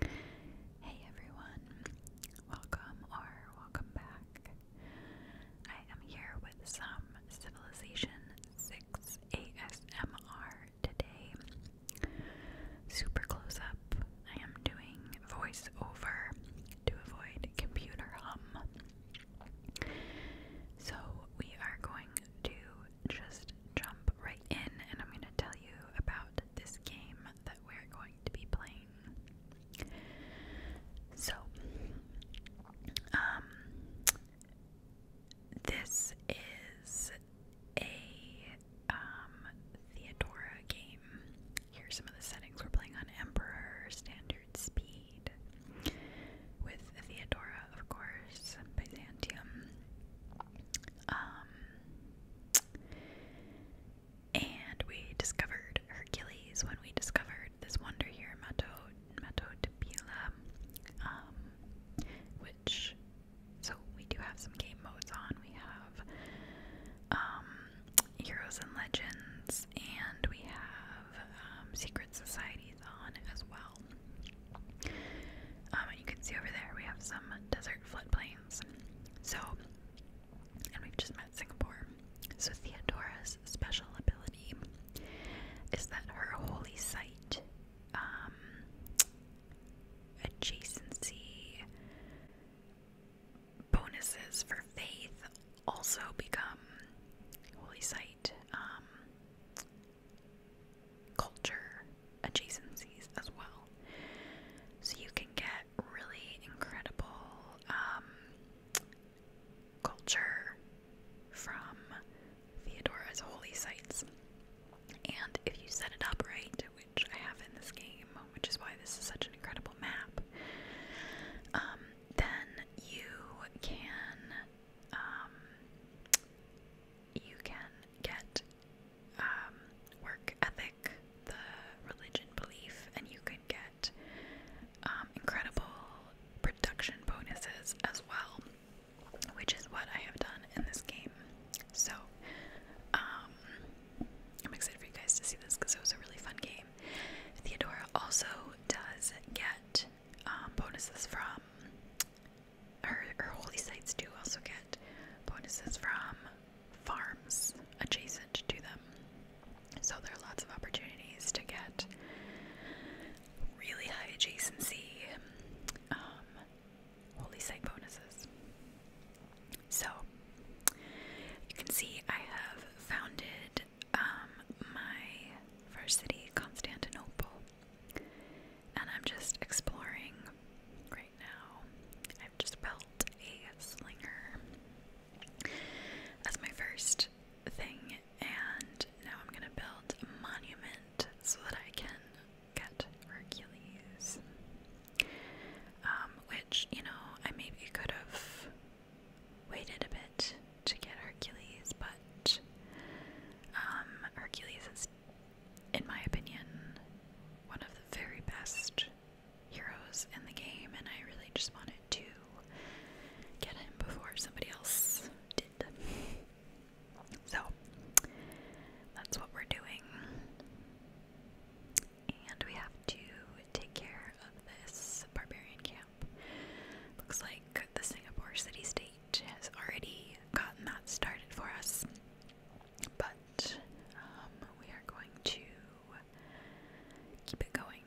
Hey everyone, welcome or welcome back. I am here with some Civilization 6 ASMR today. Super close up, I am doing voice over to avoid computer hum. So we are going to just jump right in and I'm going to to tell you about this game that we're going to be playing. So, um, this is a um, Theodora game. Here's some of the settings we're playing on Emperor, Standard Speed, with Theodora, of course, Byzantium. Um, and we discovered Hercules when we discovered this wonder here, Mato de um, which so we do have some game modes on. We have um, Heroes and Legends, and we have um, Secret Societies on as well. Um, and you can see over there we have some desert floodplains. So, and we've just met Singapore. So, Theodora's special ability is that her holy site um, adjacency bonuses for faith also become holy site um, culture adjacencies as well. So you can get really incredible um, culture from Theodora's holy sites. And if you set it up right, which I have in this game, which is why this is such an incredible map, um, then you can um, you can get um, work ethic, the religion belief, and you could get um, incredible production bonuses as well, which is what I have done in this game. So, um, I'm excited for you guys to see this because it was a really fun game. Theodora also does get bonuses from her, her holy sites do also get bonuses from farms adjacent to them. So there are lots of opportunities to get really high adjacency um, holy site bonuses. So you can see I have founded um, my first city, Constantinople, and I'm just exploring right now. I've just built a slinger as my first thing, and now I'm gonna build a monument so that I can get Hercules. Um, which, you know, I maybe could have waited a bit to get Hercules, but um, Hercules is in my opinion, one of the very best heroes in the game, and I really just wanted to get him before somebody else did. So, that's what we're doing. And we have to take care of this barbarian camp. Looks like the Singapore City State has already gotten that started for us. But um, we are going to keep it going.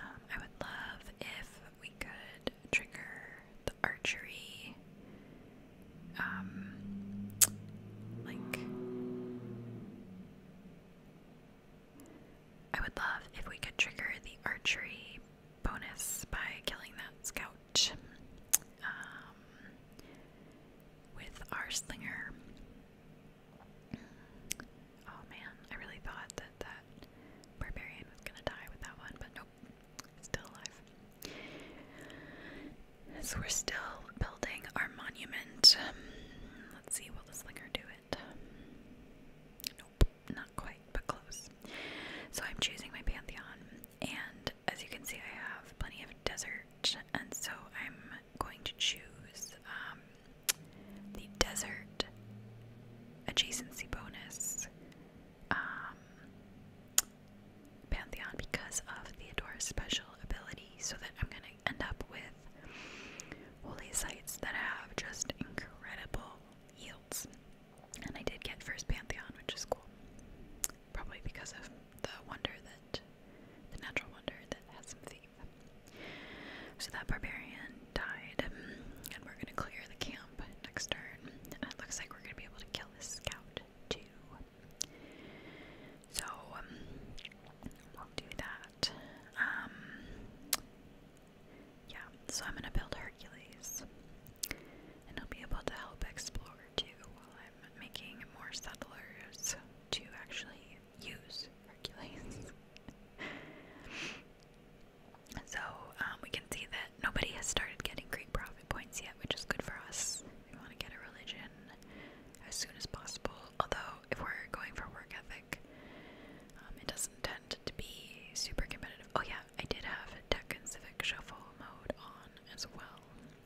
Um, I would love if we could trigger the archery, um, like. I would love if we could trigger the archery bonus by killing that scout um, with our slinger. Oh man, I really thought that that barbarian was gonna die with that one, but nope, still alive. So we're still building our monument. let's see, will the slinger do it? nope, not quite, but close. So I'm choosing my pantheon. And as you can see, I have plenty of desert, and so I'm going to choose um, the desert adjacency bonus um, Pantheon because of Theodora's special ability, so that I'm going to end up with holy sites that have just incredible yields. And I did get first Pantheon, which is cool. Probably because of the wonder that the natural wonder that has some thief. So that barbarian died, and we're gonna clear the camp next turn. And it looks like we're gonna be able to kill this scout too. So um, we'll do that. Um, yeah. So I'm gonna build Hercules, and he'll be able to help explore I'm making more settlers to actually use Hercules. so um, we can see that nobody has started getting Greek profit points yet, which is good for us. We want to get a religion as soon as possible, although if we're going for work ethic, um, it doesn't tend to be super competitive. Oh yeah, I did have tech and civic shuffle mode on as well.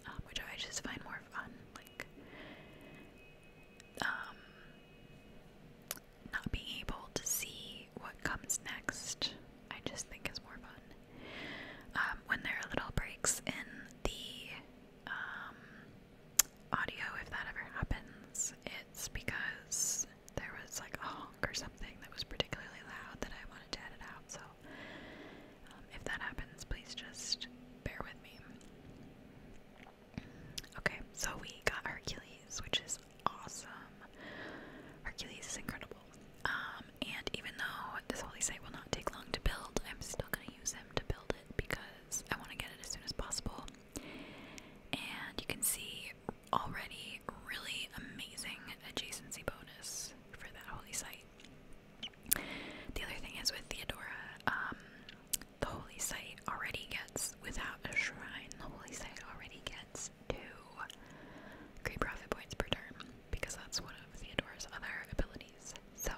Um, which I just find more fun, like um, not being able to see what comes next. I just think is more fun um, when there are little breaks in the um, audio. If that ever happens, it's because there was like a honk or something that was particularly loud that I wanted to edit out. So um, if that happens, please just bear with me. Okay, so we got Hercules, which is awesome. Hercules is incredible. Um, and even though this holy site will not take long to build, I'm still gonna use him to build it because I want to get it as soon as possible. And you can see already really amazing adjacency bonus for that holy site. The other thing is with Theodora, um, the holy site already gets, without a shrine, the holy site already gets two Great profit points per turn because that's one of Theodora's other abilities. So,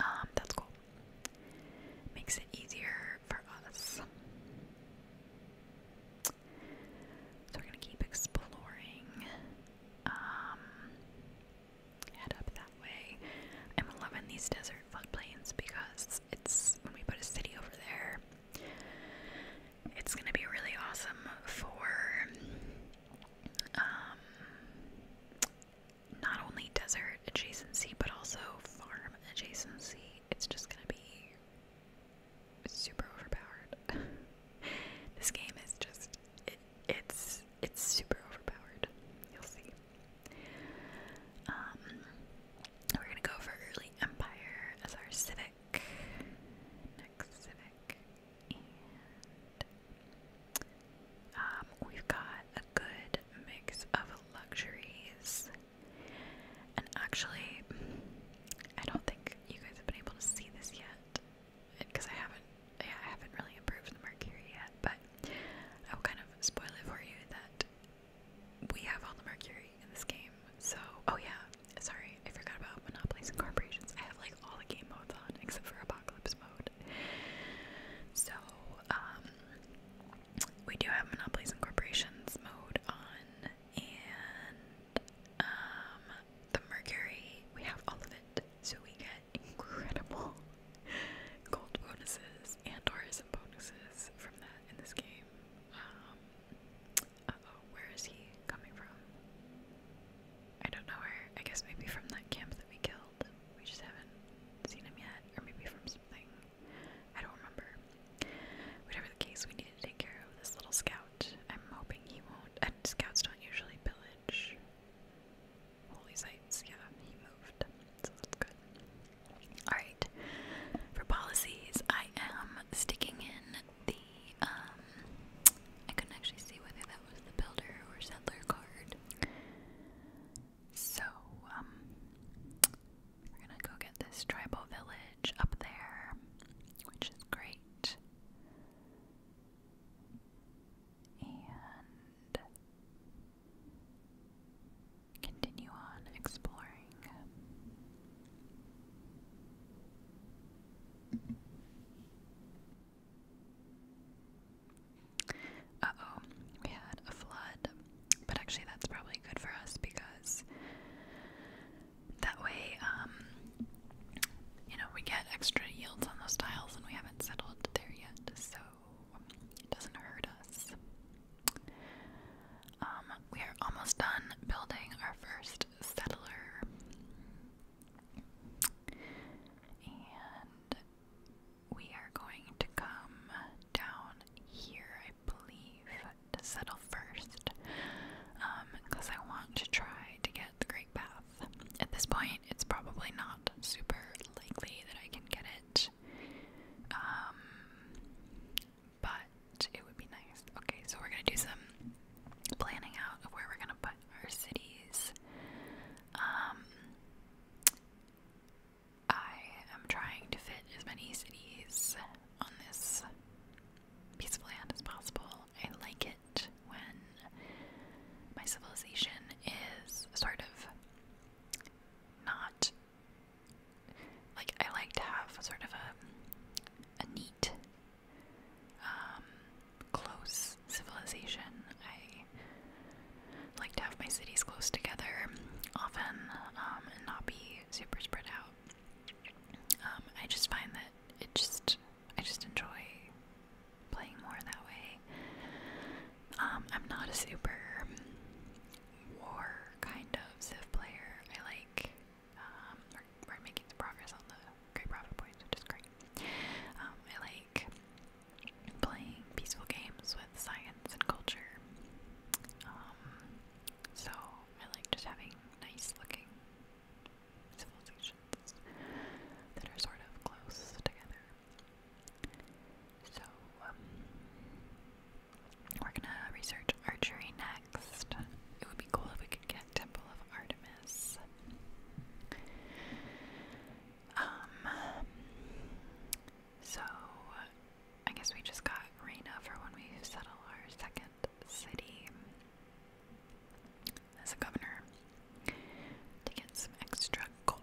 um, that's cool. Makes it easier for us. So we're gonna keep exploring. Um, head up that way. I'm loving these desert floodplains because it's when we put a city over there, it's gonna be really awesome for um, not only desert adjacency but also farm adjacency. It's just gonna be super overpowered. this game is just it, it's it's super overpowered. You'll see. Um, we're gonna go for early empire as our civic. Next civic, um, we've got a good mix of luxuries. And actually, I don't think you guys have been able to see this yet, because I haven't, yeah, I haven't really improved the mercury yet, but I'll kind of spoil it for you that we have all the mercury in this game. So, oh yeah, sorry, I forgot about monopolies and corporations. I have like all the game modes on except for apocalypse mode. So, um, we do have monopolies and corporations mode on, and um, the mercury, we have all of it. So we get incredible gold bonuses and tourism bonuses from that in this game. Um, is he coming from? I don't know where. I guess maybe from that camp that we killed. We just haven't seen him yet. Or maybe from something. I don't remember. Whatever the case, we need to take care of this little scout. I'm hoping he won't. And scouts don't usually pillage holy sites. Yeah, he moved, so that's good. Alright, for policies, I am sticking in the, um, I couldn't actually see whether that was the builder or settler card. So, um, we're gonna go get this tribal village up there, which is great and continue on exploring. Uh oh, we had a flood, but actually, that's probably good for us because that way, um, you know, we get extra yields on those tiles and we haven't settled there yet, so it doesn't hurt us. Um, we are almost done building our first settler. And we are going to come down here, I believe, to settle first. Because um, I want to try to get the Great Path. At this point, it's probably not super likely that I can get it. Um, but it would be nice. Okay, so we're gonna do some planning out of where we're gonna put our cities. Um, I am trying to fit as many cities on this piece of land as possible. I like it when my civilization is sort of not like I like to have sort of a a neat um, close civilization. I like to have my cities close together often um, and not be super spread out. Um, I just find that it just I just enjoy playing more that way. Um, I'm not a super war kind of Civ player. I like um, we're, making some progress on the great profit points, which is great. Um, I like playing peaceful games with science and culture. so I like just having nice looking civilizations that are sort of close together. So, um, we're gonna research archery next. It would be cool if we could get Temple of Artemis. Um, so I guess we just got Reyna for when we settle our second city as a governor to get some extra gold.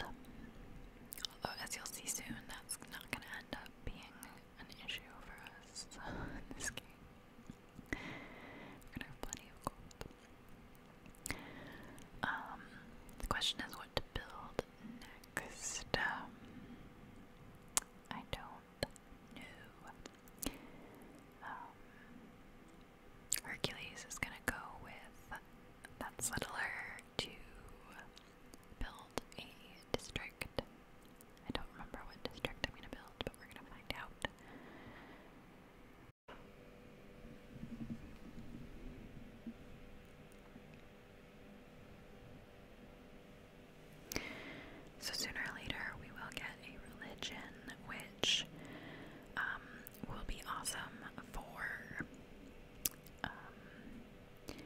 Although, as you'll see soon, that's not going to end up being an issue for us this game. We're going to have plenty of gold. Um, the question is what to build next. Um, I don't know. Um, Hercules is going to go with that settler to build a district. I don't remember what district I'm going to build, but we're going to find out. So sooner or later we will get a religion which um, will be awesome for um,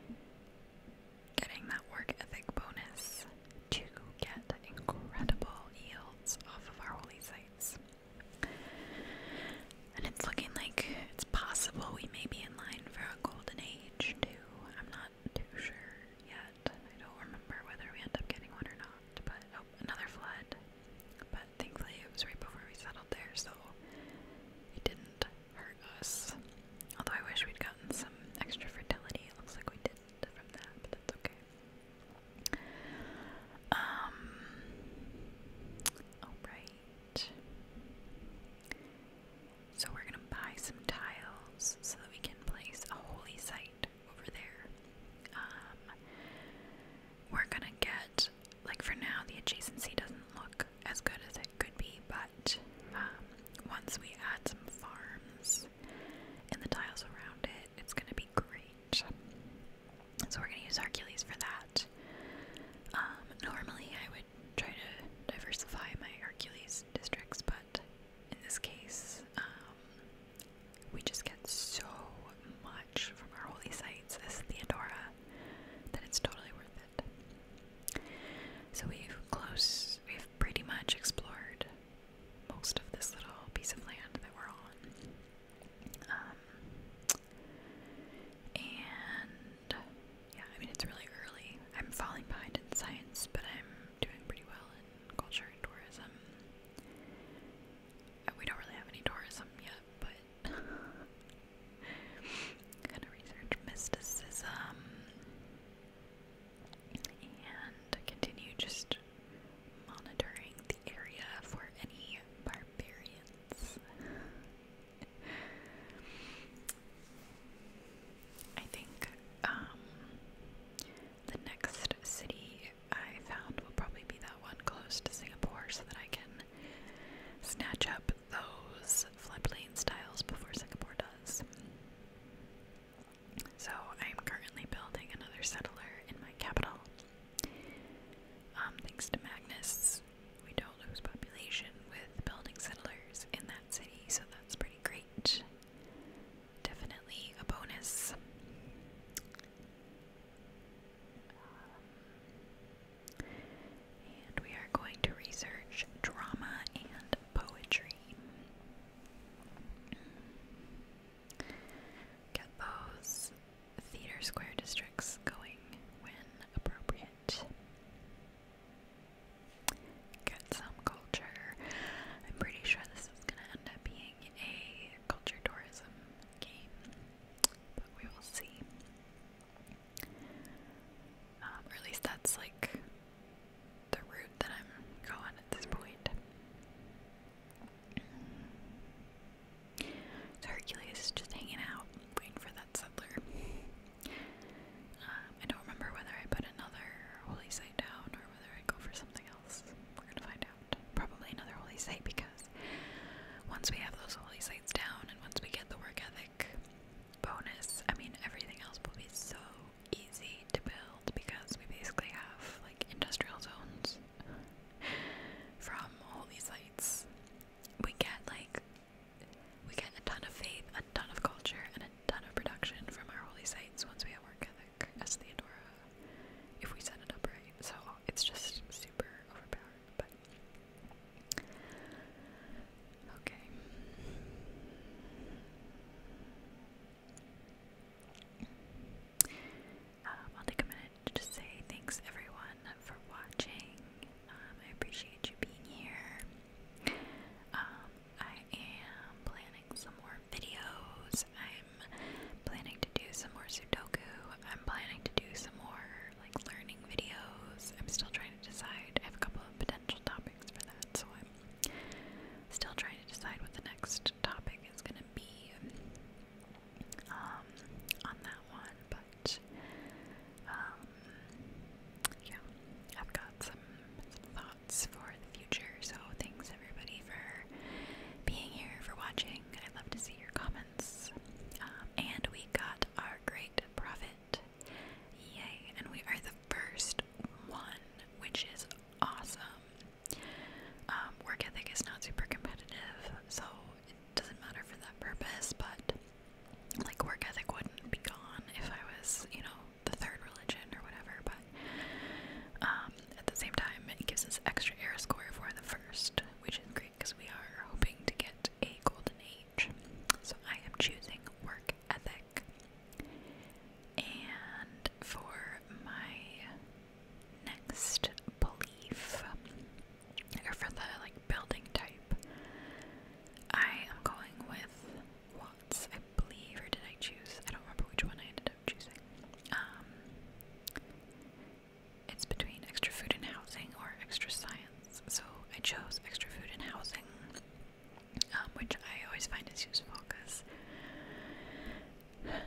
getting that work ethic bonus to get incredible yields off of our holy sites. And it's looking like it's possible we may be in line for a golden age too. I'm not too sure yet. I don't remember whether we end up getting one or not, but oh, another flood. But thankfully it was right before we settled there, so it didn't hurt us. Although I wish we'd gotten some extra fertility. looks like we didn't but that's okay. Um alright. So we're gonna buy some tiles so that we can place a holy site over there. Um, we're gonna get like for now, the adjacency doesn't look as good as it could be. But um, once we add some farms and the tiles around it, it's going to be great. So we're going to use Hercules for that. Um, normally, I would try to diversify my Hercules districts, but in this case, um, we just get so much from our holy sites as Theodora, that it's totally worth it. So we've close we've pretty much explored most of this little piece of land that we're on. Um, and yeah, I mean it's really early. I'm falling behind in science, but I'm doing pretty well in culture and tourism. Uh, we don't really have any tourism yet, but gonna research mysticism and continue just monitoring the area for any barbarians. I think um, the next city I found will probably be that one close to Singapore so that I can snatch up those floodplain styles before Singapore does. So I'm currently building another settler in my capital. Um, thanks to Magnus, we don't lose population with building settlers in that city, so that's pretty great. Definitely a bonus and we are going to research drama and poetry. Get those theater square districts going when appropriate. Get some culture. I'm pretty sure this is going to end up being a culture tourism game. But we will see. Um, or at least that's like the route that I'm going at this point. Hercules just hanging out, waiting for that settler. Um, I don't remember whether I put another holy site down or whether I go for something else. We're gonna find out. Probably another holy site because once we have those holy sites down and once we get the work ethic bonus, I mean, everything else will be so easy to build because we basically have like industrial zones from all these sites. We get like, we get a ton of faith, a ton of culture, and a ton of production from our holy sites once we have work ethic as Theodora if we set it up right. So it's just super overpowered. But Okay. Um, I'll take a minute to just say thanks everyone for watching. Um, I appreciate you being here. Um, I am planning some more videos. I'm planning to do some more Sudoku. I'm planning to do some more like learning videos. I'm still trying to decide. I have a couple of potential topics for that, so I'm still trying to decide what the next topic is going to be um, on that one. But um, yeah, I've got some, some thoughts for the future. So thanks everybody for being here, for watching. I'd love to see your comments. Um, and we got our great profit, Yay! And we are the first one, which is awesome. Um, work ethic is not super competitive, so it doesn't matter for that purpose, but like work ethic wouldn't be gone if I was, you know, the third religion or whatever, but um, at the same time, it gives us extra air score for the first, which is great because we are hoping to get a golden age. So I am choosing work ethic. And for my next belief, or for the like building type, I am going with Watts, I believe, or did I choose? I don't remember which one I ended up choosing. Um, it's between extra food and housing or extra science. So I chose extra food and housing, um, which I always find is useful because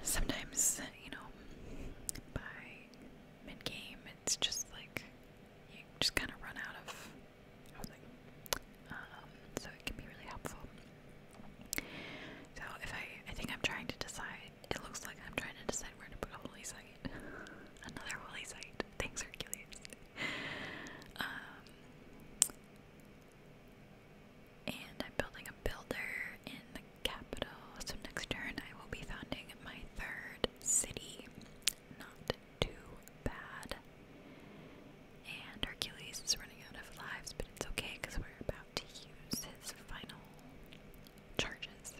sometimes, you know, by mid game, it's just like you just kind of run out of housing. Um, so it can be really helpful. So if I, I think I'm trying to decide it looks like I'm trying to decide where to put a holy site. Another holy site. Thanks, Hercules. Um, and I'm building a builder in the capital. So next turn, I will be founding my third city. Not too bad. And Hercules is running out of lives, but it's okay because we're about to use his final charges.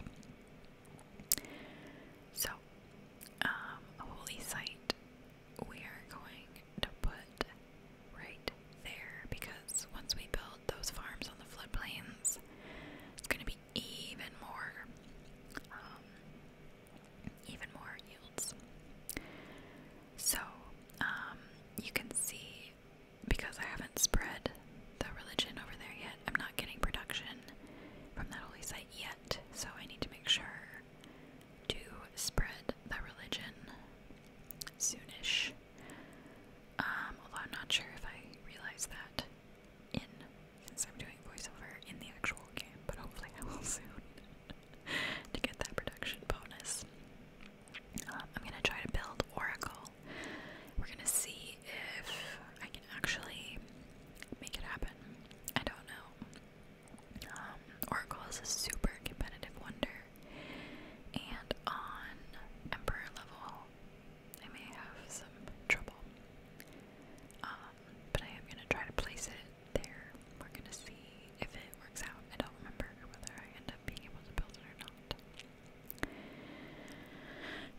So, um, holy site we are going to put right there because once we build those farms on the floodplains, it's going to be even more, um, even more yields. So, um, you can see because I haven't spread the religion over there yet. I'm not getting production from that holy site yet, so I need to make sure to spread the religion soonish. Um, although I'm not sure if I realize that in since I'm doing voiceover in the actual game, but hopefully I will soon to get that production bonus. Um, I'm gonna try to build Oracle. We're gonna see if I can actually make it happen. I don't know. Um, Oracle is a super competitive wonder, and on Emperor level, I may have some trouble. Um, but I am gonna try to place it there. We're gonna see if it works out. I don't remember whether I end up being able to build it or not.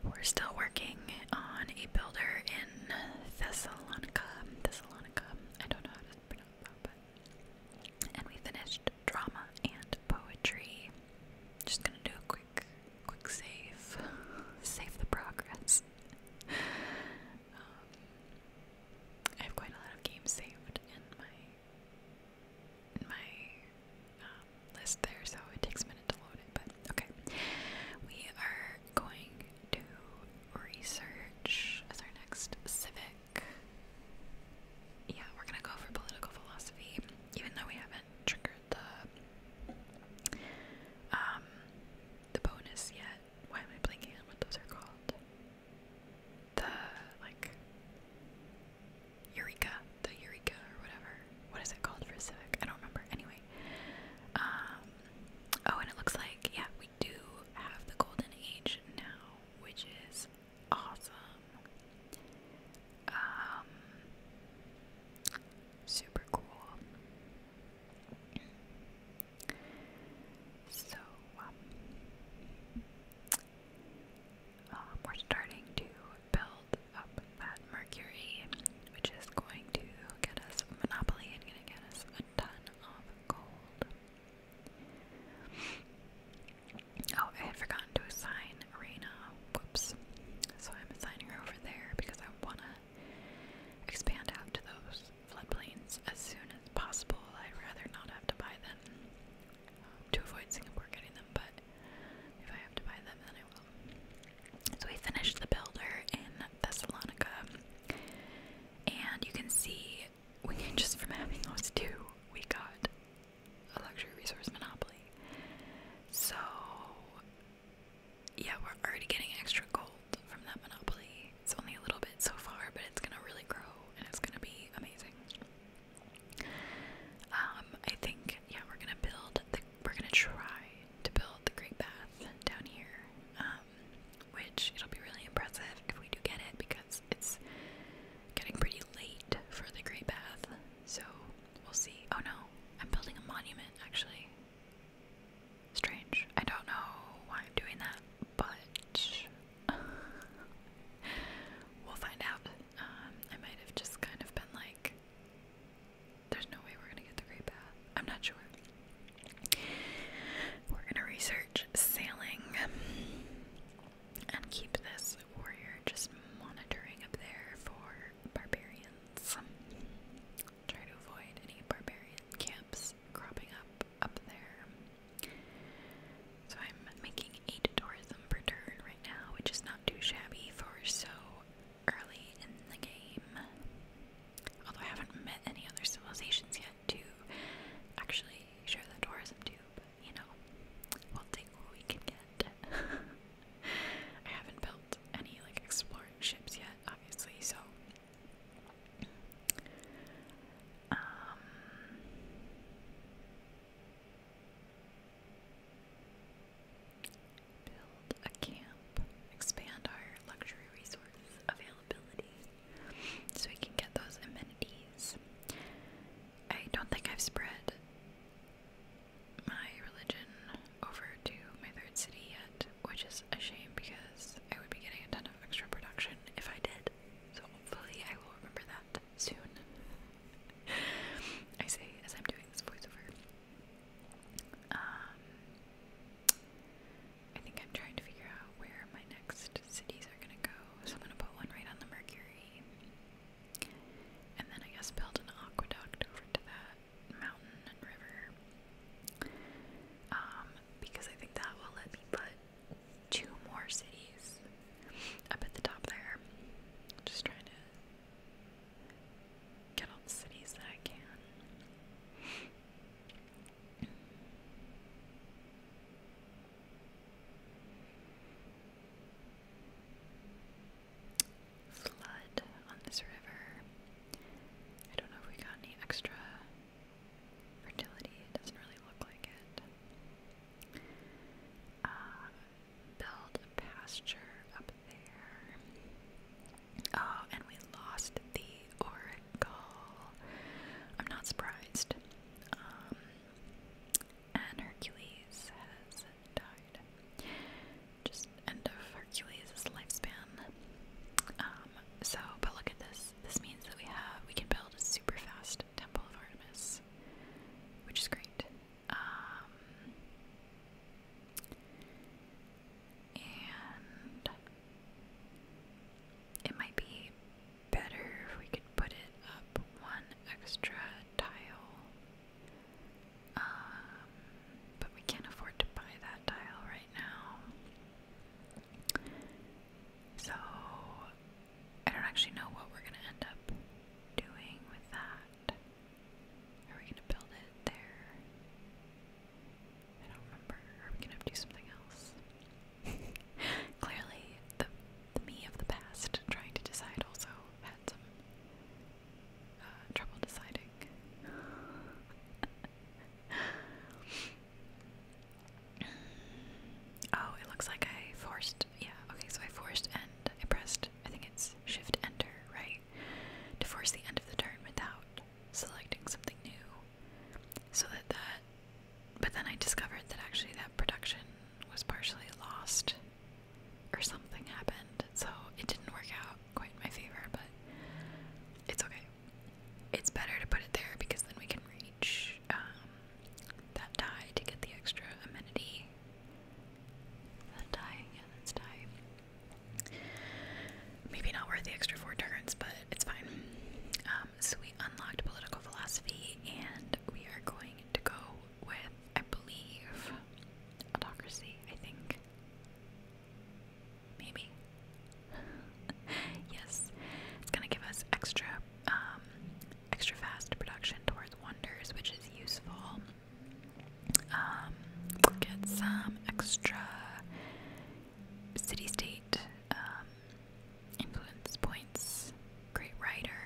We're still working on a builder in Thessalonica. Thessalonica. I don't know how to pronounce that, And we finished drama and poetry. Just gonna do a quick, quick save. Save the progress. Um, I have quite a lot of games saved in my in my uh, list there, so it takes a minute to load it, but okay. We are going to research as our next civic. Yeah, we're gonna go for political philosophy, even though we haven't triggered the um the bonus yet. Why am I blinking on what those are called? The like Eureka the Eureka or whatever. What is it called for Civic? I don't remember. Anyway. Um, oh, and it looks like, yeah, we do have the Golden Age now, which is awesome. Um, super cool. So, um, we're starting to build up that mercury, which is going to get us monopoly and going to get us a ton of gold. Oh, I had forgotten to assign Arena. Whoops. So I'm assigning her over there because I want to expand out to those floodplains as soon as possible. I'd rather not have to buy them um, to avoid Singapore getting them, but if I have to buy them, then I so we finished the builder in Thessalonica, and you can see we just from having those two, we got a luxury resource monopoly. So yeah, we're already getting extra gold from that monopoly. It's only a little bit so far, but it's gonna really grow and it's gonna be amazing. Um, I think yeah, we're gonna build the we're gonna try to build the Great Bath down here, um, which it'll be really impressive if we do get it because it's getting pretty late for the Great Bath. So we'll see. Oh no, I'm building a monument actually. Strange. I don't know why I'm doing that, but we'll find out. Um, I might have just kind of been like there's no way we're gonna get the Great Bath. I'm not sure. We're gonna research sailing and keep this warrior just monitoring up there for barbarians. Try to avoid any barbarian camps cropping up up there. So I'm making eight tourism per turn right now, which is not too shabby for so early in the game. Although I haven't met any other civilizations yet to actually share the tourism to, but you know, we'll take what we can get. I haven't built any like exploring ships yet, obviously, so um, Build a camp. Expand our luxury resource availability so we can get those amenities. I don't think I've spread my religion over to my third city yet, which is a shame because I would be getting a ton of extra production if I did. So hopefully I will remember that soon. I say as I'm doing this voiceover. Um, I think I'm trying to figure out where my next cities are gonna go. So I'm gonna put one right on the Mercury. And then I guess build an aqueduct over to that mountain and river. Um, because I think that will let me put two more cities up at the top there. Just trying to get all the cities that I can. Flood on this river. I don't know if we got any extra fertility. doesn't really look like it. Uh, build pasture up Oh, and we lost the Oracle. I'm not surprised. Um, and Hercules has died. Just end of Hercules' lifespan. Um, so, but look at this. This means that we have we can build a super fast Temple of Artemis, which is great. Um, and it might be better if we could put it up one extra tile. Um, but we can't afford to buy that tile right now. So I don't actually know what we're going to end up doing with that. Are we gonna build it there? I don't remember. Are we gonna do something else? Clearly, the, the me of the past trying to decide also had some uh, trouble deciding. oh, it looks like I forced. Yeah, okay, so I forced end. I pressed. I think it's shift enter, right? to force the end of the turn without selecting something new. So that that. But then I discovered that actually that production was partially lost, or something happened, so it didn't work out quite in my favor, but it's okay. It's better to put it there because then we can reach um, that die to get the extra amenity. That die, yeah, that's die. Maybe not worth the extra four turns, but it's fine. Um, so we unlocked political philosophy, and we are going to go with, I believe, autocracy, I think. Maybe. yes, it's going to give us extra, um, extra fast production towards wonders, which is useful. Um, get some extra city state um, influence points, great writer,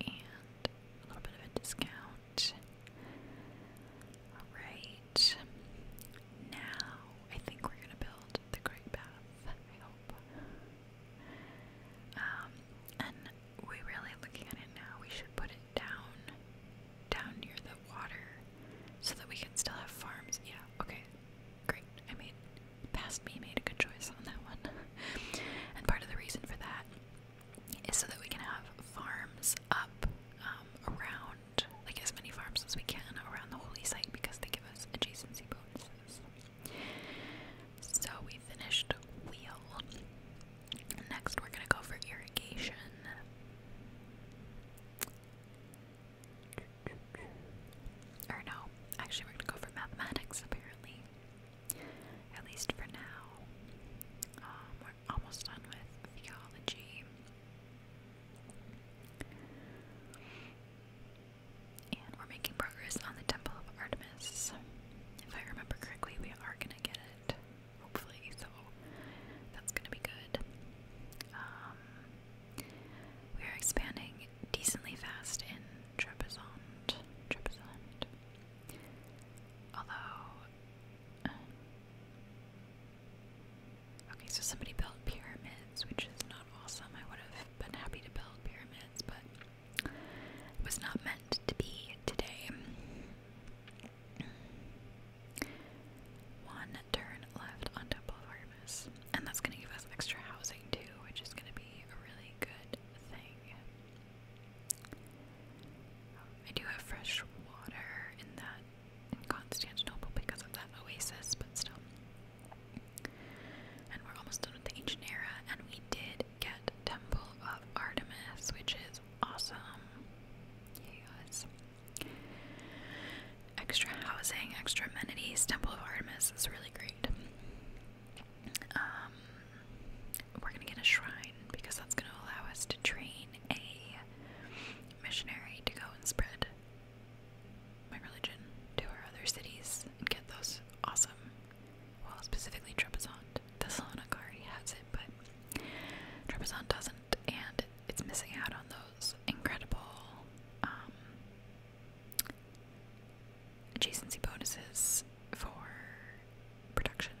and a little bit of a discount. Alright, now I think we're gonna build the Great Bath, I hope. Um, and we're really looking at it now. We should put down, down near the water, so that we can still have farms. Yeah, okay, great. I mean, past me made a good choice on that one. and part of the reason for that is so that we can have farms up um, around, like as many farms as we can around the holy site because they give us adjacency bonuses. So we finished wheel. Next, we're going to go for irrigation. Or no, actually, we're going to go for mathematics, apparently. At least for now. Um, we're almost done with theology. And we're making progress on the Temple of Artemis. If I remember correctly, we are going to get it hopefully, so that's gonna be good. Um, we are expanding decently fast in Trebizond. Trebizond. Although, uh, okay, so somebody built pyramids, which is not awesome. I would have been happy to build pyramids, but it was not meant to be today. One turn left on Temple of Artemis. And that's going to give us extra housing too, which is going to be a really good thing. I do have fresh water in that in Constantinople because of that oasis, but still. And we're almost done with the ancient era, and we did get Temple of Artemis, which is awesome. Yes. Extra housing, extra amenities. Temple of Artemis is really great. Um, we're gonna get a shrine because that's gonna allow us to train a missionary to go and spread my religion to our other cities and get those awesome. Well, specifically Trebizon. Thessaloniki already has it, but Trebizon doesn't and it's missing out on those incredible um, adjacency bonuses for production.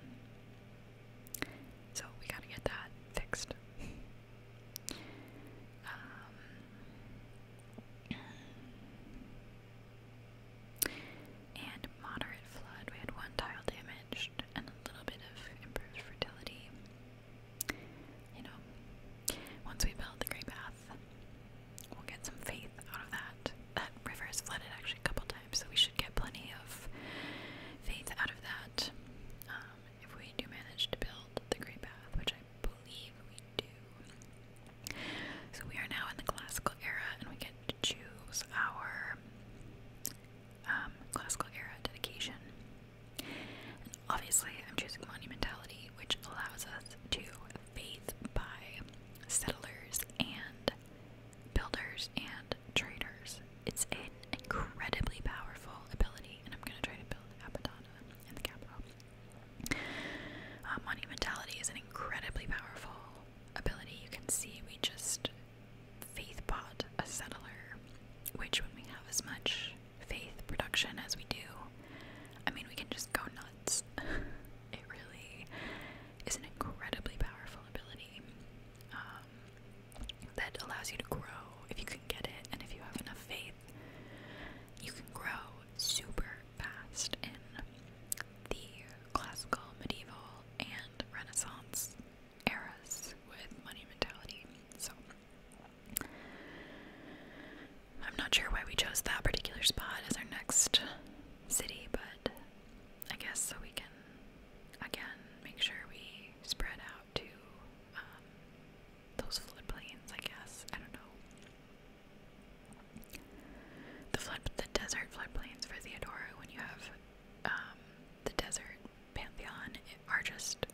So we gotta get that fixed. Um, and moderate flood, we had one tile damaged, and little bit of improved fertility. You know, once we build the Great Bath, we'll get some faith out of that. That river is flooded actually a couple times, so we should get plenty of faith out of that. Um, if we do manage to build the Great Bath, which I believe we do. So we are now in the classical era, and we get to choose our um, classical era dedication. obviously, I'm choosing monumentality, which allows us to faith by settlers and builders and traders. It's an incredibly powerful ability, and I'm going to try to build Apadana in the capital. Uh, monumentality is an incredibly powerful ability. You can see we just faith bought a settler, which when we have as much faith production as we do, I mean, we can just go nuts. it really is an incredibly powerful ability um, that allows you to grow if you can get it, and if you have enough faith, you can grow super fast in the classical, medieval, and Renaissance eras with money mentality. So I'm not sure why we chose that particular spot as our next city, but I guess so we can again make sure we spread out to um, those floodplains. I guess I don't know the flood, the desert floodplains for Theodora. When you have um, the desert Pantheon are just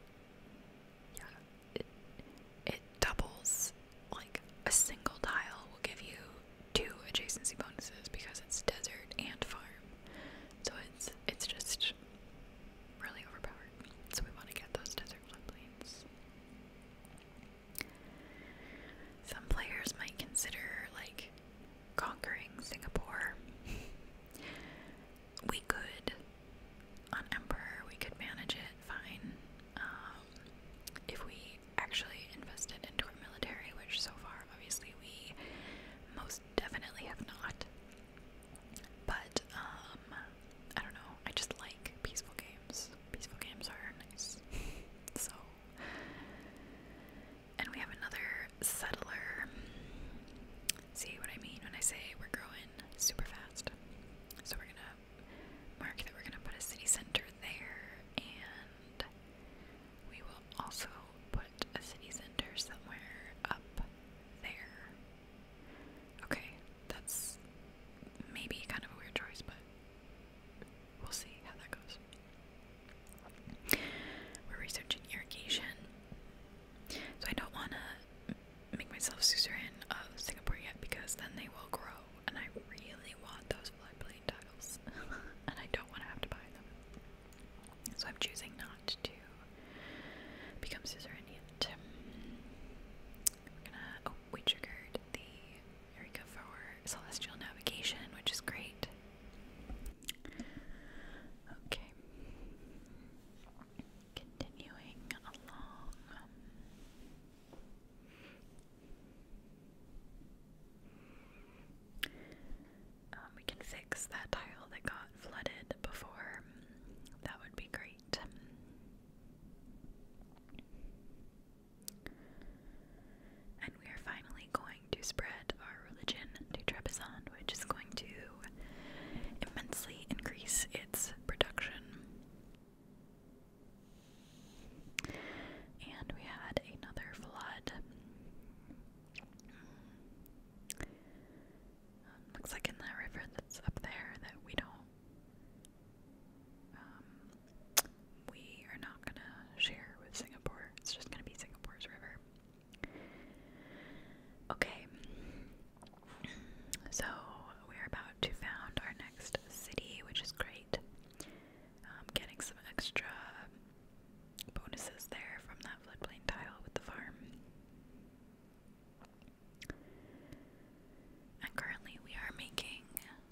yeah it, doubles like a single tile will give you two adjacency bonuses because it's desert and farm. So it's it's just really overpowered. So we want to get those desert flood plains. Some players might consider like conquering Singapore we could, on Emperor, we could manage it fine um, if we actually invested into our military, which so far, obviously, we most definitely have not. But, um, I don't know, I just like peaceful games. Peaceful games are nice. so, and we have another settler. See what I mean when I say we're growing super fast. So we're gonna mark that we're gonna put a city center there, and we will also put a city center somewhere up there. Okay, that's maybe kind of a weird choice, but we'll see how that goes. We're researching irrigation. So I don't want to make myself suzerain of Singapore yet because then they will grow, and I really want those floodplain tiles, and I don't want to have to buy them. So I'm choosing not to become suzerain yet. We're gonna. Oh, we triggered the Eureka for celestial navigation, which is great. Okay. Continuing along. Um, we can fix that tile that got flooded before. That would be great. And we are finally going to spread religion to Trebizond, which is going to immensely increase its production. And we had another flood. Um, looks like in that river that's up there that we don't, um, we are not gonna share with Singapore. It's just gonna be Singapore's river. Okay, so we're about to found our next city, which is great. Um, getting some extra bonuses there from that floodplain tile with the farm. And currently, we are making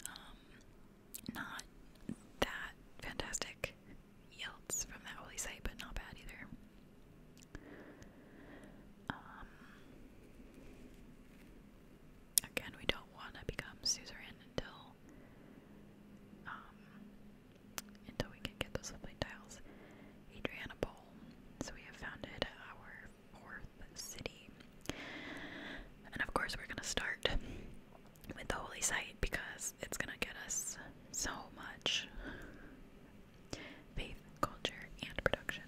um, not that fantastic yields from that holy site, but not bad either. Um, again, we don't want to become suzerain until um, until we can get those lovely tiles. Adrianople. So we have founded our fourth city, and of course, we're gonna start with the holy site because it's gonna get us so much faith, culture, and production.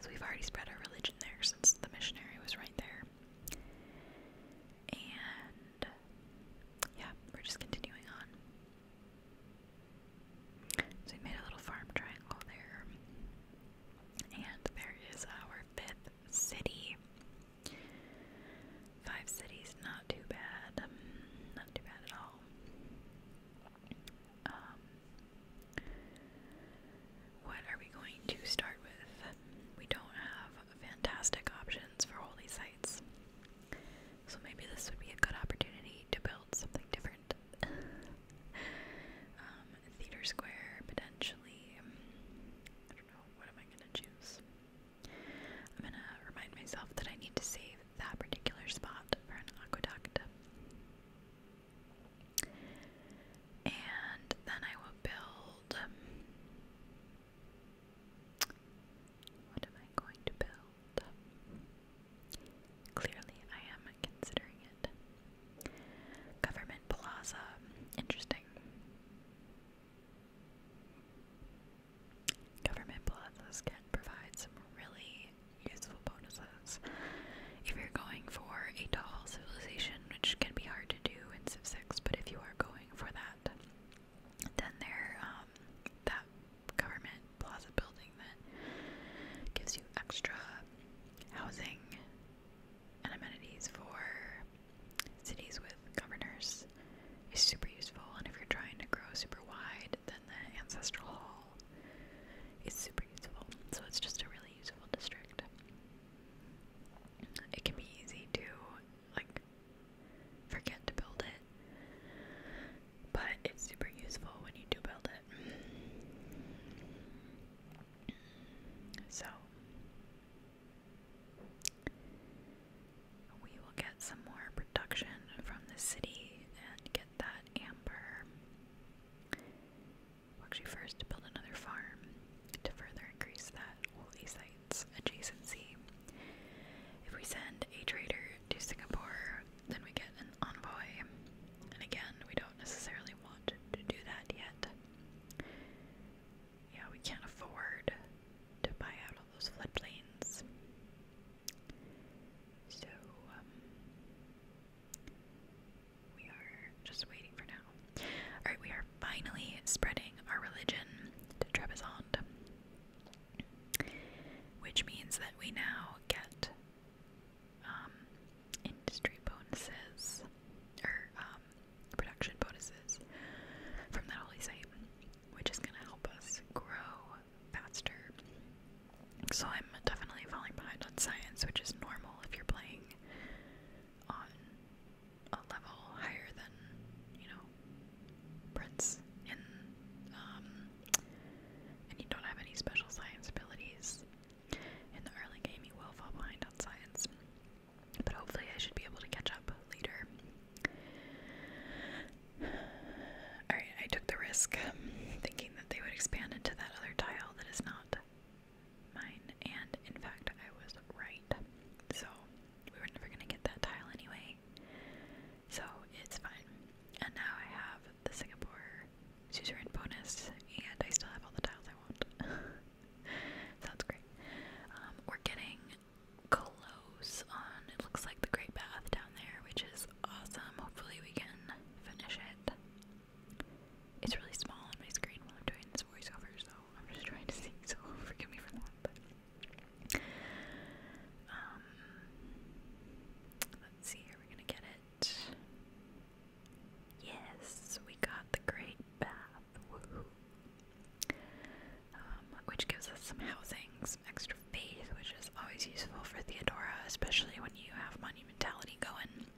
So we've already spread our religion there since the missionary was right there. And yeah, we're just continuing on. So we made a little farm triangle there. And there is our fifth city. Five cities, not too bad. Um, not too bad at all. Um, what are we going to start with? We don't have fantastic options for holy sites. So maybe this would be a good opportunity to build something different. Um, theater square, potentially. I don't know, what am I gonna choose? I'm gonna remind myself that I need to save that particular spot for an aqueduct. And then I will build. Um, what am I going to build? Clearly, I am considering it. Government Plaza. Interesting. Government plazas can provide some really useful bonuses. If you're going for a tall civilization, which can be hard to do in Civ 6, but if you are going for that, then um, that government plaza building that gives you extra housing and amenities for cities with governors is super useful. And if you're trying to grow super wide, than the ancestral hall is super useful. So it's just a really useful district. It can be easy to like forget to build it, but it's super useful when you do build it. So we will get some more production from the city and get that amber. actually first build another farm to further increase that holy sites adjacency. If we send a trader to Singapore, then we get an envoy. And again, we don't necessarily want to do that yet. Yeah, we can't afford to buy out all those floodplains. So, um, we are just waiting for now. Alright, we are finally spreading our religion to Trebizond, which means that we now get um, industry bonuses, or um, production bonuses from that holy site which is going to help us grow faster. So I'm definitely falling behind on science, which is normal if you're playing on a level higher than, you know, Prince um, and you don't have any special science abilities. In the early game you will fall behind on science. But hopefully I should be able to catch up later. Alright, I took the risk um, thinking that they would expand into that other tile that is not mine, and in fact, I was right. So, we were never gonna get that tile anyway. So, it's fine. And now I have the Singapore suzerain bonus, and I still have all the tiles I want. Sounds great. Um, we're getting close on it looks like the Great Bath down there, which is awesome. Hopefully we can finish it. It's really small on my screen while I'm doing this voiceover, so I'm just trying to see, so forgive me for that. Um, let's see here, we're gonna get it. Yes, we got the Great Bath. Woohoo. Um, which gives us some housing, some extra faith, which is always useful for Theodora, especially when you have monumentality going.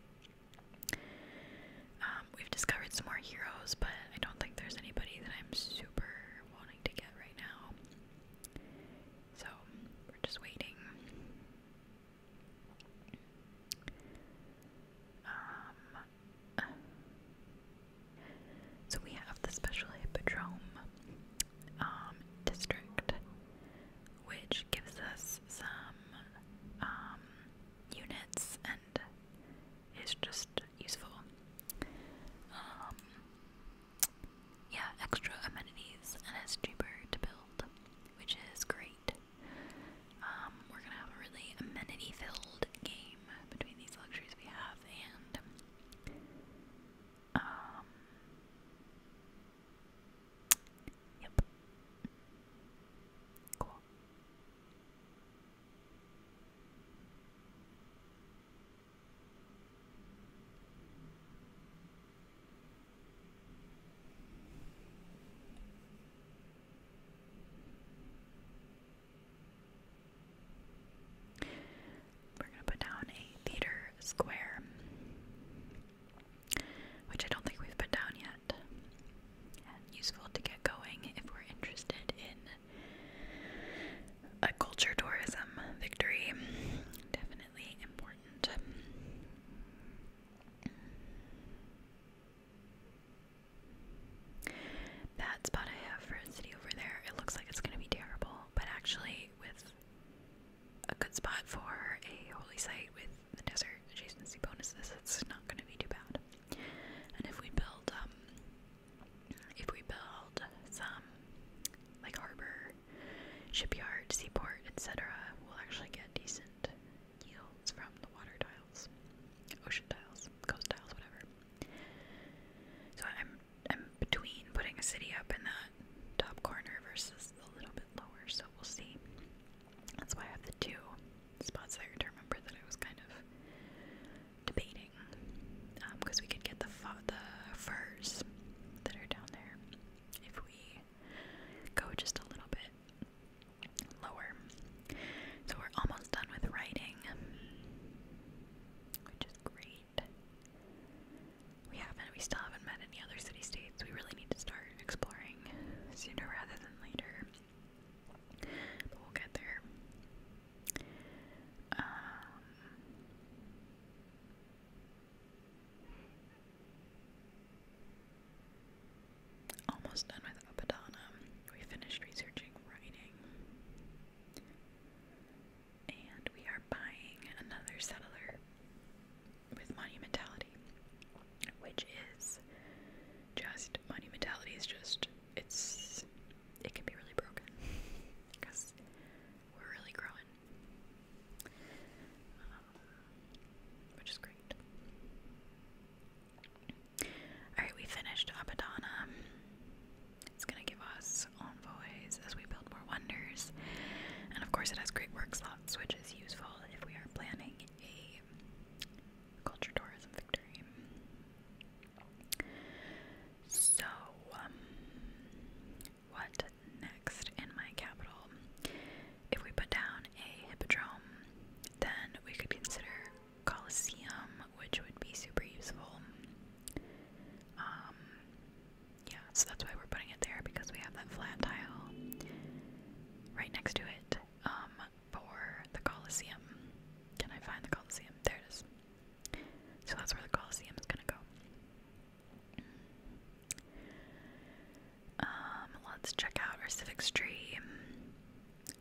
Um, we've discovered some more heroes, but I don't think there's anybody that I'm super wanting to get right now. So, we're just waiting. Um, so we have the special hippodrome, um, district, which gives us some um, units and is just useful. Um, yeah, extra amenities, and it's cheaper to build, which is great. we're gonna have a really amenity filled game between these luxuries we have, and um, yep. Cool. We're gonna put down a theater square, which I don't think we've put down yet. useful to get going if we're interested in a culture tourism victory. Definitely important. That spot I have for a city over there, it looks like it's going to be terrible, but actually, with a good spot for a holy site with the desert adjacency bonuses. It's not going to be too bad. And if we build, um, if we build some like harbor, shipyard, seaport, etc., we'll actually get decent yields from the water tiles, ocean tiles, coast tiles, whatever. So I'm between putting a city up in that top corner versus a little bit lower, so we'll see. That's why I have the two spots there to remember that I was kind of debating, because um, we could get the the furs that are down there if we go just a little bit lower. So we're almost done with writing, which is great. We haven't, we still haven't met any other city states. We really need to start exploring sooner rather than later. But we'll get there. Um, almost done with Upadana. We finished researching writing and we are buying another settler with monumentality, which is just monumentality is just it's it can be really broken because we're really growing, um, which is great. All right, we finished Abadana. It's gonna give us as envoys as we build more wonders. And of course, it has great work slots, which is useful if we are planning a culture tourism victory. So, um, what next in my capital? If we put down a hippodrome, then we could consider Colosseum, which would be super useful. Um, yeah, so that's why we're putting it there because we have that flat tile right next to it um, for the Colosseum. Can I find the Colosseum? There it is. So that's where the Colosseum is gonna go. Um, let's check out our civic stream.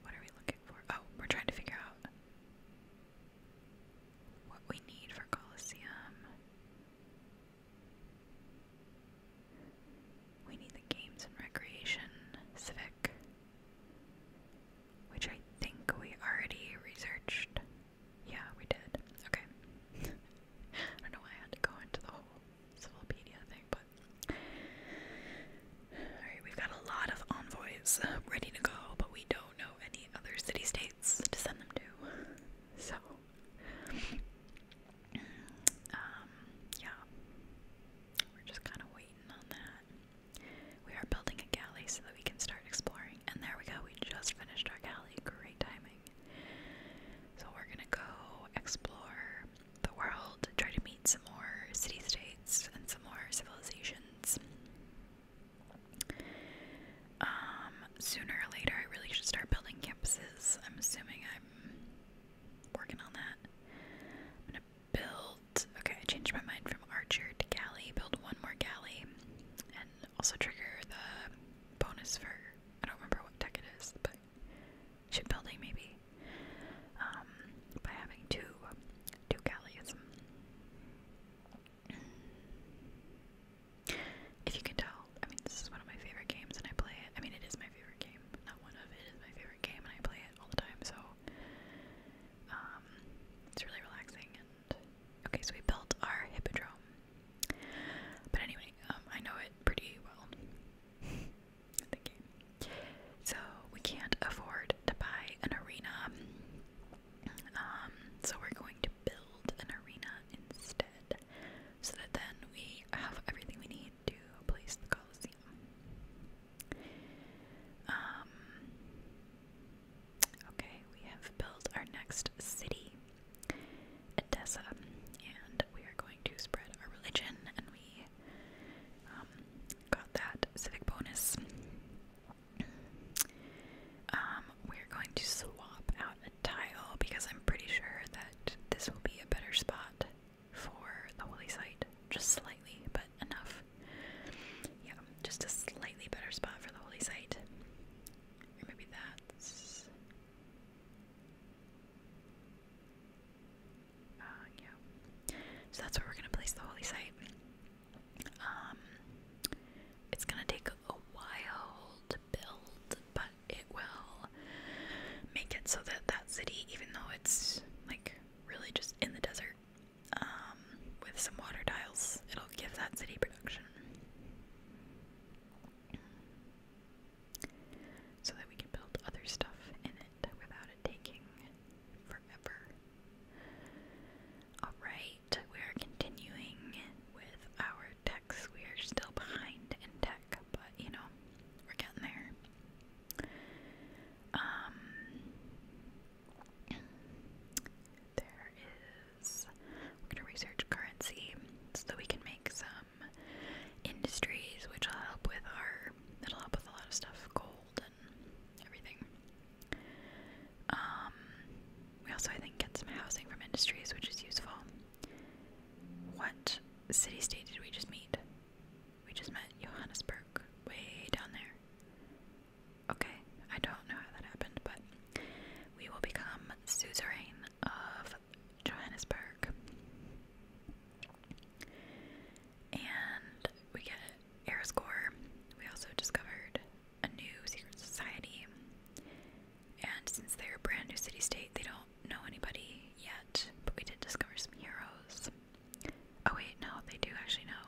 What are we looking for? Oh, we're trying to figure out what we need for Colosseum. We need the Games and Recreation Civic, which I think we already researched. Yeah, we did. Okay. I don't know why I had to go into the whole Civilopedia thing, but. Alright, we've got a lot of envoys ready to go, but we don't know any other city states to send them to. So, um, yeah, we're just kind of waiting on that. We are building a galley so that we can start exploring. And there we go, we just finished our galley. Great timing. So we're gonna go explore the world, try to meet some more city states and some more civilizations. Um, sooner or later, I really should start building campuses. I'm assuming I'm working on that. I'm gonna build. Okay, I changed my mind from archer to galley. Build one more galley, and also trigger the bonus for. I don't remember what deck it is, but ship building maybe. Um, by having two, two galleys. If you can tell, I mean, this is one of my favorite games and I play it. I mean, it is my favorite game. Not one of it is my favorite game and I play it all the time, so um, it's really relaxing. And okay, so we built our hippodrome. But anyway, um, I know it pretty well. So we can't afford to buy an arena. Um, so we're going to build an arena instead so that then we have everything we need to place the Colosseum. Um, okay, we have built our next city, Edessa, and we are going to spread our religion, and we um, got that civic bonus. Um, we're going to swap out a tile because I'm pretty sure that this will be a better spot for the holy site. Just slightly, but enough. Yeah, just a slightly better spot for the holy site. Or maybe that's. Uh, yeah. So that's where we're gonna place the holy site. Um, it's gonna take a while to build, but it will make it so that that city, even though it's like really just in the desert, um, with some water tiles, it'll give that city production. So that we can build other stuff in it without it taking forever. Alright, we are continuing with our we are still behind in tech, but you know, we're getting there. Um, there is. We're gonna research currency so that we can make some industries, which will help with our. It'll help with a lot of stuff, gold and everything. Um, we also, I think, get some housing from industries, which is useful. What city state did we just meet? We just met Johannesburg, way down there. Okay, I don't know how that happened, but we will become suzerain of Johannesburg. And we get air score. We also discovered a new secret society. And since they're a brand new city state, they don't know anybody yet. But we did discover some heroes. Oh, wait, no, they do actually know.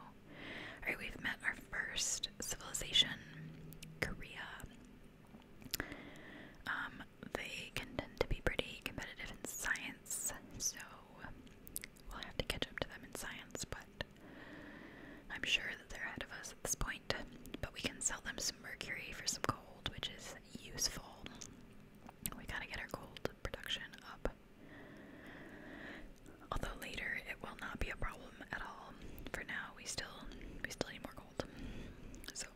Alright, we've met our first civilization, Korea. Um, they can tend to be pretty competitive in science, so we'll have to catch up to them in science, but I'm sure that they're ahead of us at this point, but we can sell them some mercury for some gold, which is useful. We gotta get our gold production up. Although later it will not be a problem at all. For now, we still we still need more gold. So,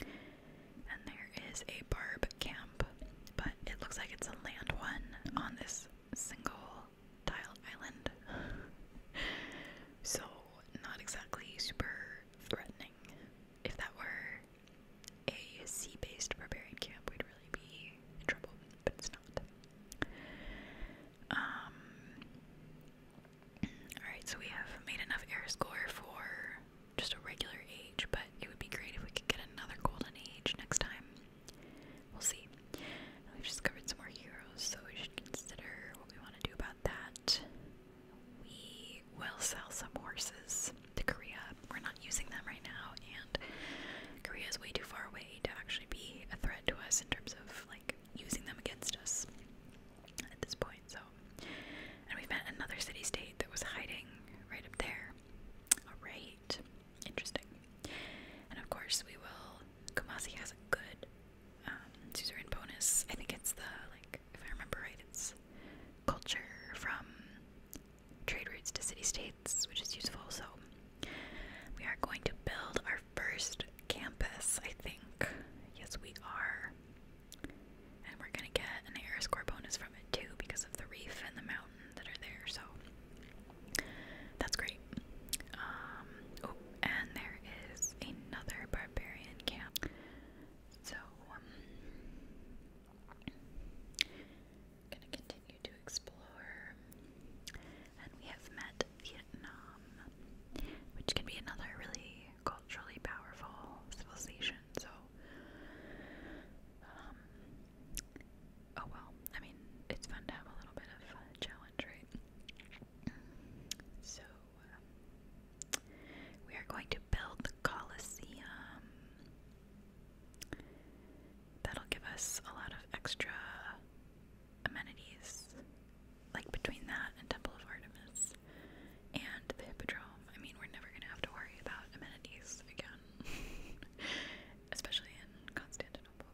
and there is a barb camp, but it looks like it's a land one on this single tile island. so, not exactly super threatening. If that were a sea based barbarian camp, we'd really be in trouble, but it's not. Um, alright, so we have made enough air score for just a regular age, but it would be great if we could get another golden age next time. We'll see we've discovered some more heroes, so we should consider what we want to do about that. We will sell some horses to Korea. We're not using them right now, and Korea is way too far away to actually be a threat to us in terms of like using them against us at this point. So, and we've met another city-state that was hiding right up there. All right, interesting. And of course, we will. Kumasi has a good um, bonus. I think it's the like if I remember right, it's culture from trade routes to city states, which is useful. So we are going to build our first campus. I think yes, we are, and we're gonna get an air score bonus from it too because of the reef and the mountain that are there. So that's great. Um, oh, and there is another barbarian camp. So, um, gonna continue to explore. And we have met Vietnam, which can be another really culturally powerful civilization. So, um, oh well, I mean, it's fun to have a little bit of challenge, right? So um, we are going to build the Colosseum. That'll give us a lot of extra amenities, like between that and Temple of Artemis and the Hippodrome. I mean, we're never going to have to worry about amenities again, especially in Constantinople.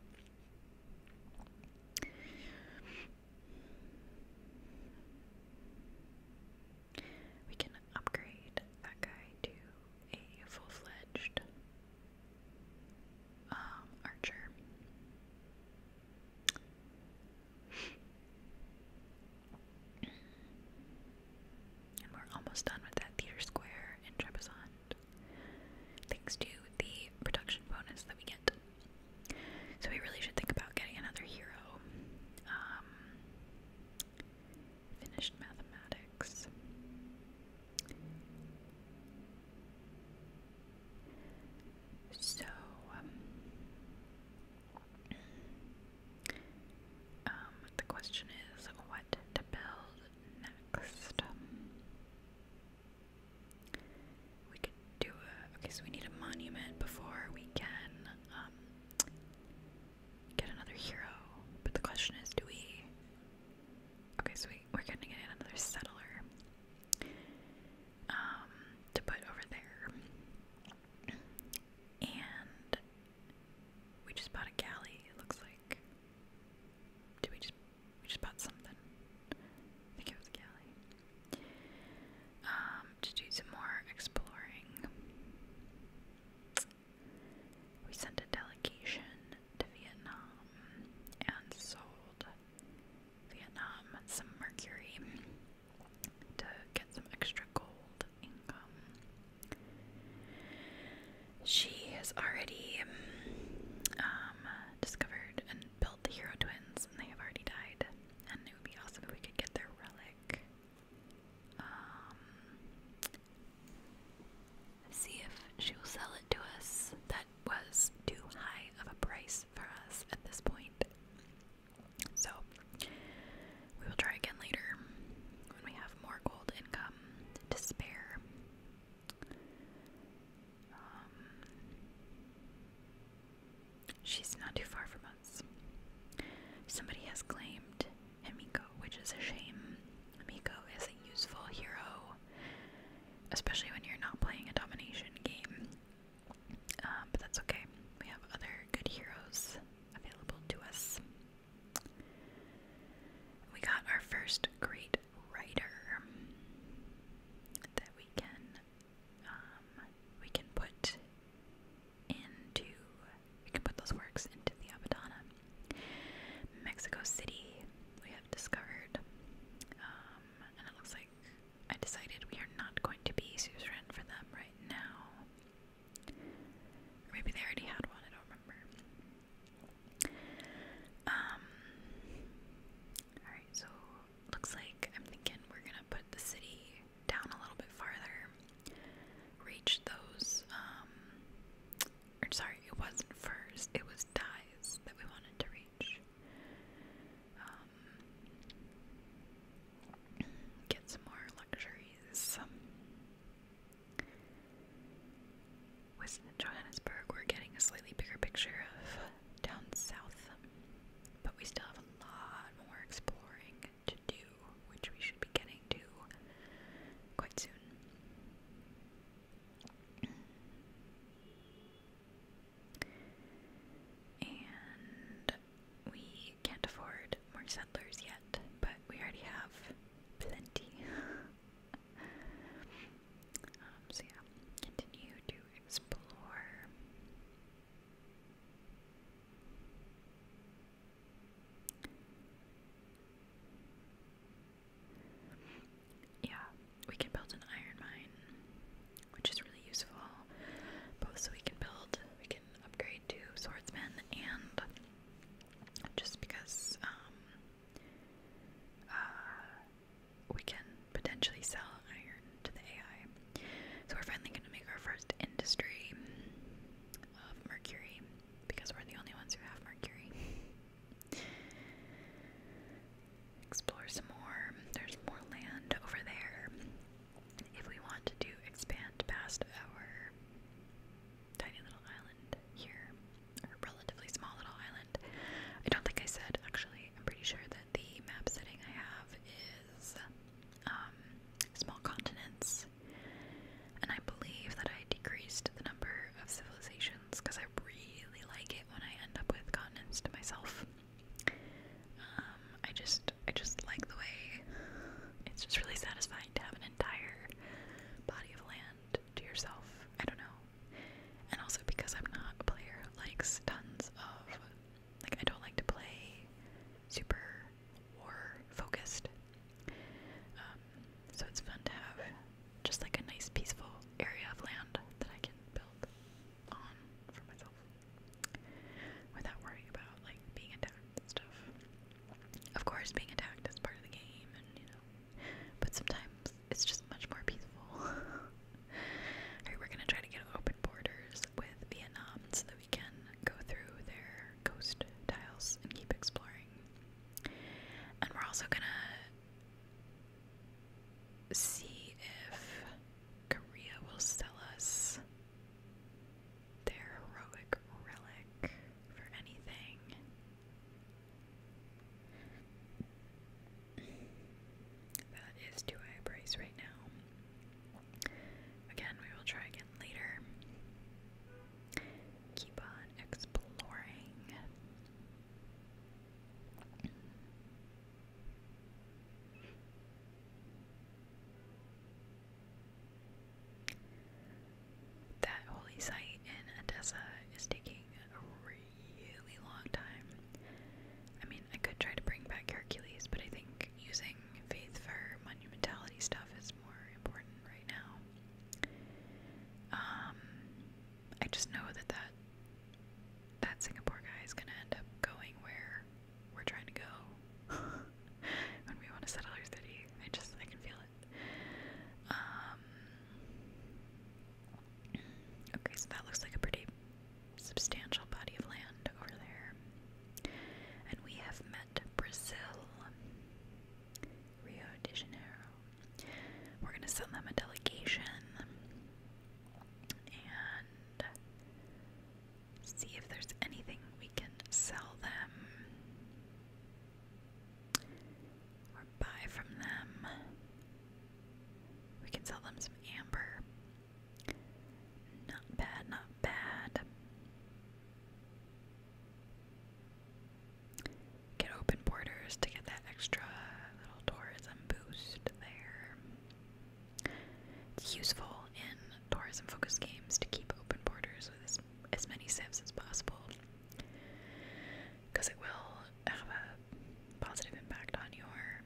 We can upgrade that guy to a full fledged um, archer. And we're almost done with that theater square in Trebizond thanks to the production bonus that we get. So we really should think about getting another hero. Um, finished mathematics. So, um, um, the question is what to build next. We could do a. Okay, so we need a monument before we can um, get another hero. But the question is do we. Okay, so we, we're going to get another settler um, to put over there. And we just bought a galley, it looks like. Did we just we just bought something. I think it was a Um, to do some more exploring. We sent a delegation to Vietnam and sold Vietnam some mercury to get some extra gold income. She has already um, discovered an built the hero twins and they have already died. And it would be awesome if we could get their relic. Um, see if she will sell it to us. That was too high of a price for us at this point. So, we will try again later when we have more gold income to spare. Um, she's not too far from us. Somebody has claimed Himiko, which is a shame. Himiko is a useful hero, especially when you're not playing a domination game. Um, but that's okay. We have other good heroes available to us. We got our first great writer that we can um, we can put into we can put those works into the Abadana. Mexico City we have discovered, um, and it looks like I decided we are not going to be suzerain for them right now. maybe they already had one. I don't remember. Um, all right, so looks like I'm thinking we're gonna put the city down a little bit farther, reach those, um, or sorry, it wasn't furs, it was dyes that we wanted to reach. Um, get some more luxuries. With Johannesburg, we're getting a slightly bigger picture of down south. But we still have a lot more exploring to do, which we should be getting to quite soon. and we can't afford more settlers yet, but we already have plenty. Um, so yeah, continue to explore. Yeah, we can build an iron mine, which is really useful. Both so we can build, we can upgrade to swordsman, and just because um, uh, we can potentially sell iron to the AI. So we're finally going to make our first industry of mercury because we're the only ones who have mercury. Explore some more. There's more land over there. If we want to expand past our tiny little island here, or relatively small little island, I don't think I said actually, I'm pretty sure that the map setting I have is um, small continents, and I believe that I decreased the number of civilizations because I really like it when I end up with continents to myself. Um, I just, I just like the way it's just really satisfying to have an entire body of land to yourself. I don't know. And also because I'm not a player who likes tons of like I don't like to play super war focused. Um, so it's fun to have just like a nice peaceful area of land that I can build on for myself without worrying about like being attacked and stuff. Of course being attacked is part of the game and you know but sometimes it's just much more peaceful. we're gonna try to get open borders with Vietnam so that we can go through their coast tiles and keep exploring. And we're also gonna see if Korea will sell us their heroic relic for anything that is is two high a right now. Again, we will try again later. Keep on exploring. That holy site in Odessa is taking a really long time. I mean, I could try to bring back Hercules, but I think using faith for monumentality stuff is more important right now. Um, I just know that that that Singapore guy is gonna end up going where we're trying to go when we want to settle our city. I just I can feel it. Um. Okay, so that looks like a pretty substantial body of land over there. And we have met Brazil, Rio de Janeiro. We're going to send them a delegation and see if there's anything we can sell them or buy from them. We can sell them some amber. Not bad, not bad. Get open borders to get that extra little tourism boost there. It's useful in tourism focused games to keep open borders with as, many civs as possible because it will have a positive impact on your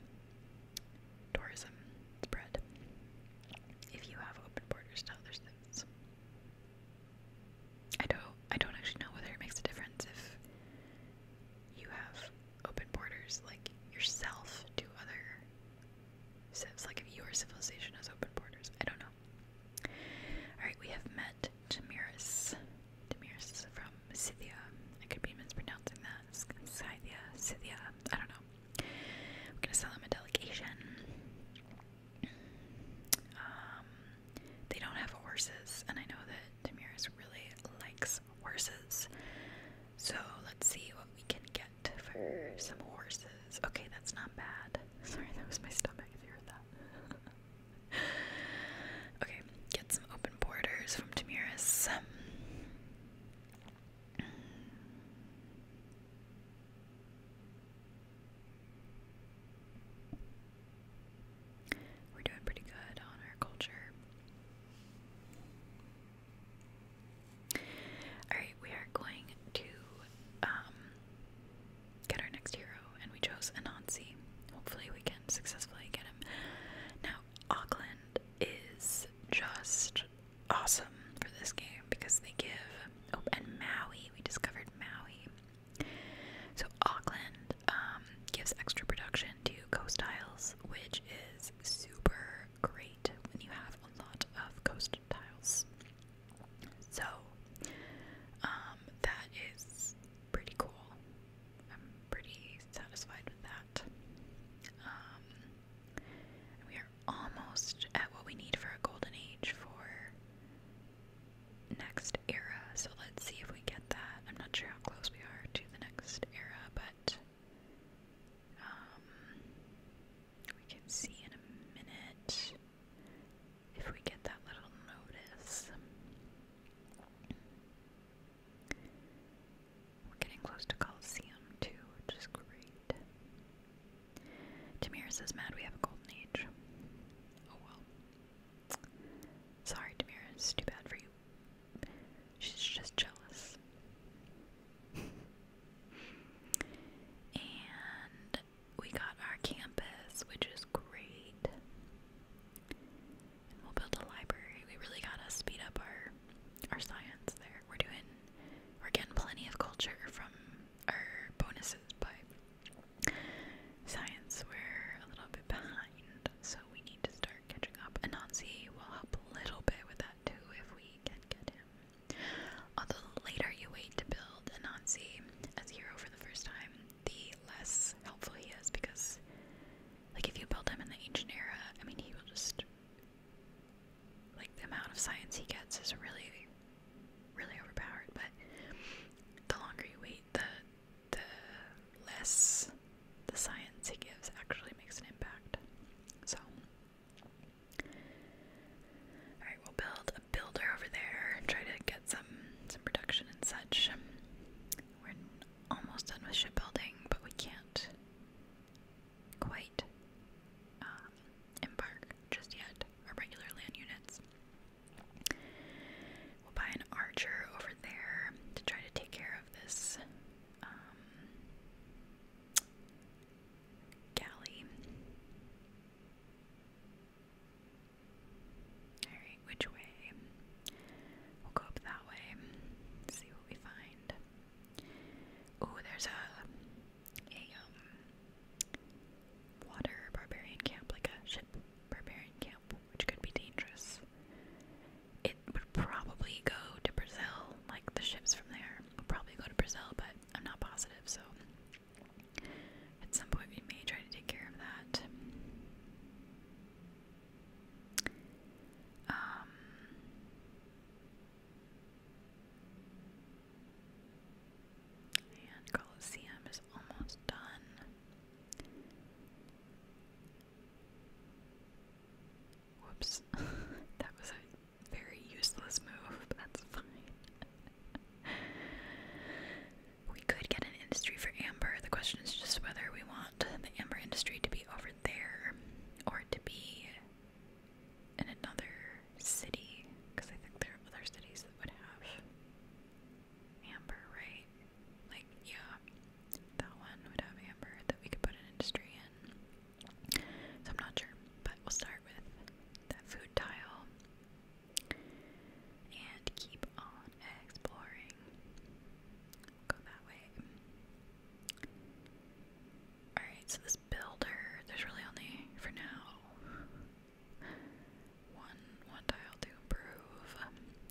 tourism spread if you have open borders to other states. I don't I don't actually know whether it makes a difference if you have open borders like yourself to other civs, like if your civilization has open borders. I don't know. Alright, we have met Tamiris. Tamiris from um, Scythia. I could be mispronouncing that. Scythia, Scythia, I don't know. We're gonna sell them a delegation. Um, they don't have horses, and I know that Tamiris really likes horses. So let's see what we can get for some horses. Okay, that's not bad. Sorry, that was my stomach if you heard that. okay, get some open borders from Tamiris. We're doing pretty good on our culture. Alright, we are going to um, get our next hero, and we chose Anansi. Hopefully, we can successfully get him. Now, Auckland is just awesome for this game because they give oh and Maui we discovered Maui so Auckland um, gives extra production to coast tiles which is super great when you have a lot of coast tiles so um, that is pretty cool I'm pretty satisfied with that. Um, we are almost at what we need for a golden age for next era, so let's see if we get that. I'm not sure how close we are to the next era, but um, we can see in a minute if we get that little notice. We're getting close to Coliseum too, which is great. Damiris is mad we have a golden age. Oh well. Sorry, Damiris, too bad for you. She's just jealous. and we got our campus, which is great we'll build a library. We really gotta speed up our our science there. We're doing we're getting plenty of culture from our bonuses, but science we're a little bit behind, so we need to start catching up. Anansi will help a little bit with that too if we can get him. Although later you wait to build Anansi as a hero for the first time, the less helpful he is because like if you build him in the ancient era, I mean he will just like the amount of science he gets is really really overpowered, but the longer you wait, the the less the science he gives actually makes an impact. So Alright, we'll build a builder over there and try to get some some production and such. We're almost done with shipbuilding, but we can't quite um, embark just yet, our regular land units. We'll buy an archer over there to try to take care of this um, galley. which way? We'll go up that way, see what we find. Oh, there's a a um water barbarian camp, like a ship barbarian camp, which could be dangerous. It would probably go to Brazil, like the ships from there will probably go to Brazil, but I'm not positive, so at some point we may try to take care of that. Um, and Colosseum is almost done. Whoops, that was a very useless move. That's fine. we could get an industry for amber. The question is just whether we want the amber industry to be over there or to be in another city because I think there are other cities that would have amber, right? Like, yeah, that one would have amber that we could put an industry in. So I'm not sure, but we'll start with that food tile and keep on exploring. Go that way. Alright, so this builder, there's really only for now one one tile to improve.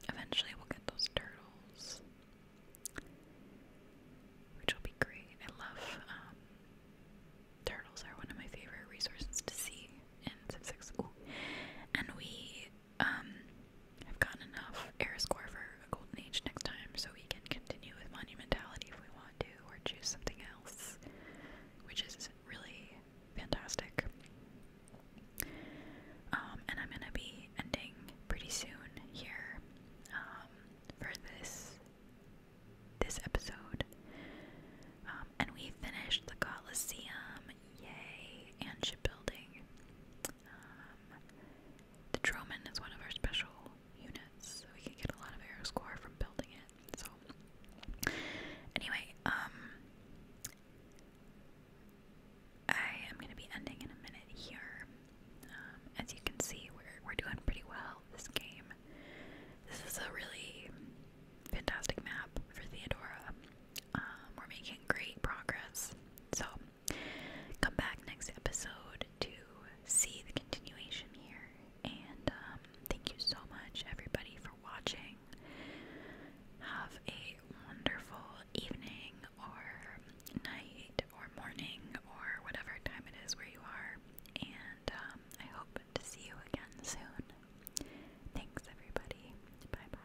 eventually we'll get those turtles. Which will be great. I love um, turtles are one of my favorite resources to see in Civ 6. Ooh. And we um, I've gotten enough air score for a golden age next time, so we can continue with monumentality if we want to, or choose something else, which is really fantastic. Um, and I'm gonna be ending pretty soon here um, for this this episode. Um, and we finished the Colosseum, yay, and ship building. Um, the Droman is one of our special units, so we can get a lot of arrow score from building it. So, anyway, um, I am going to be ending in a minute here. Um, as you can see, we're we're doing pretty well this game. This is a really fantastic map for Theodora. Um, we're making great progress. So come back next episode to see the continuation here. And um, thank you so much, everybody, for watching. Have a wonderful evening, or night, or morning, or whatever time it is where you are. And um, I hope to see you again soon. Thanks, everybody. Bye bye.